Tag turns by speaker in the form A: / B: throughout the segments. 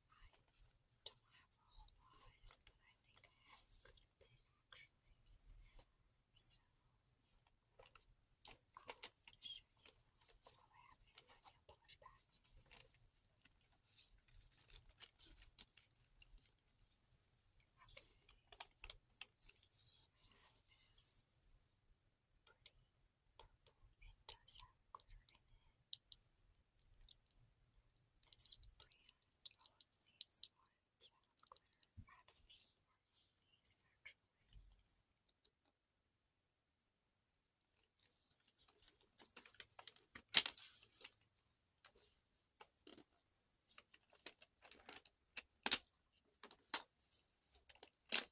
A: I don't have a whole lot, but I think I have a good bit actually. So, I'll show you all I have in my nail polish bag. Okay. I have pretty it does have glitter in it. This brand, all of these ones have glitter. I have a these actually.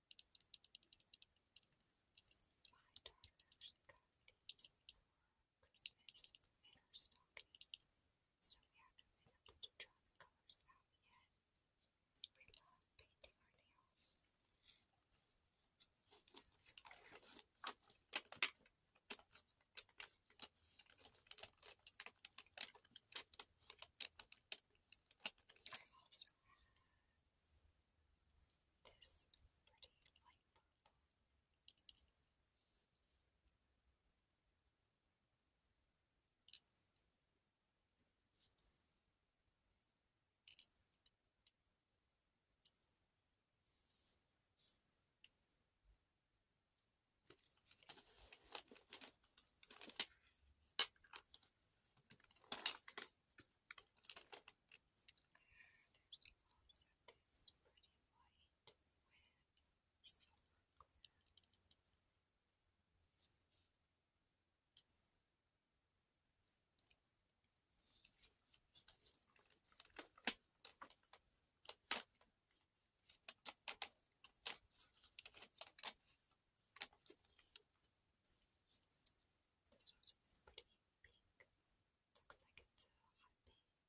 A: My daughter actually got these Christmas in her so we haven't been able to try the colors out yet. We love painting our nails. This pretty light purple. There's also this pretty white with silver glitter. There's this one pretty pink. Looks like it's a hot pink.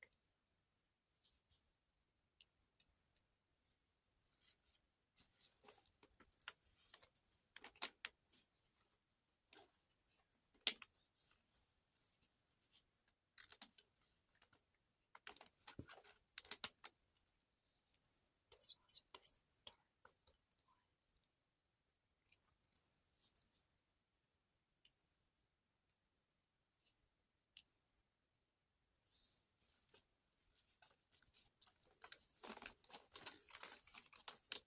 A: The source of this dark blue line. I think that's it.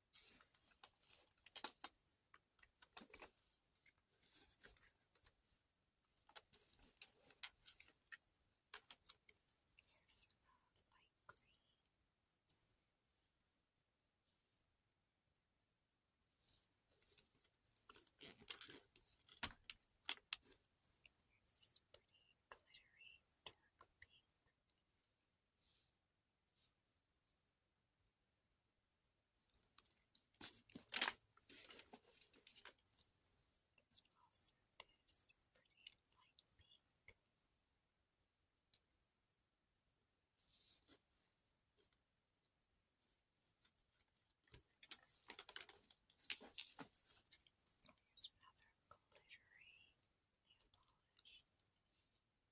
B: Here's this pretty glittery dark pink. There's also this pretty light pink. Here's another glittery nail polish.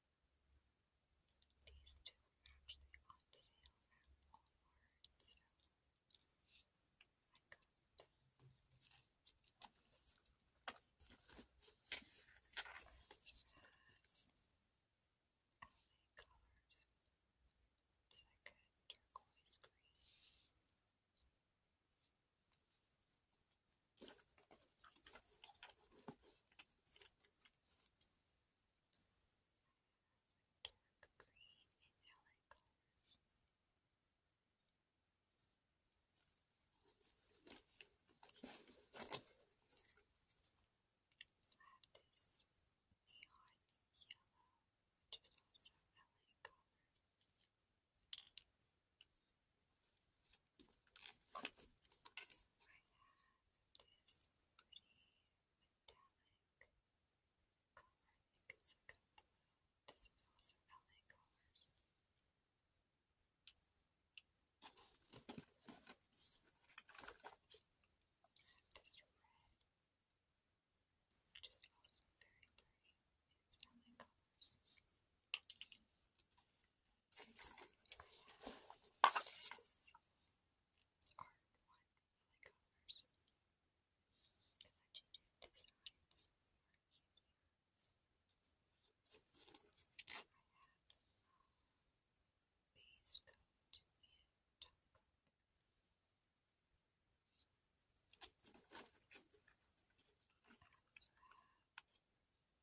B: These two were actually on sale at Walmart, I got turquoise green dark green and yellow colors. I have this neon yellow, which is also LA colors this pretty metallic color. it's like a blue. This is also LA colors. This red, which also very pretty. It's colors. This art one colors can let you designs more I have base coat and
A: top coat. have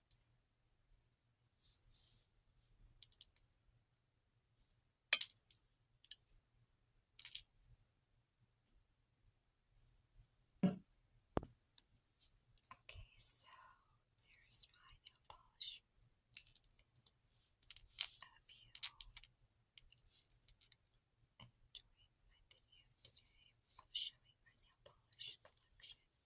A: Okay, so there's my nail polish. I hope you enjoyed my video today of showing my nail polish collection.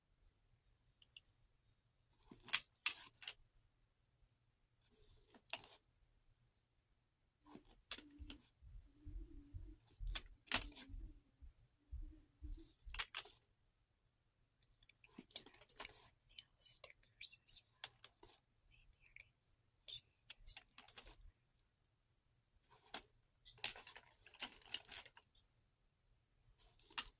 A: I do have some nail stickers as well. Maybe I can choose this.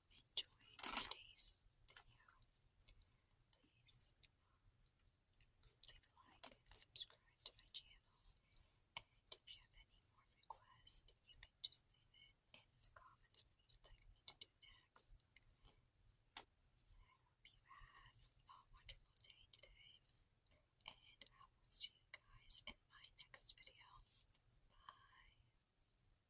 A: you today's video. Please um, like and subscribe to my channel. And if you have any more requests, you can just leave it in the comments what you'd to do next. I hope you have a wonderful
B: day today, and I will see you guys in my next video. Bye.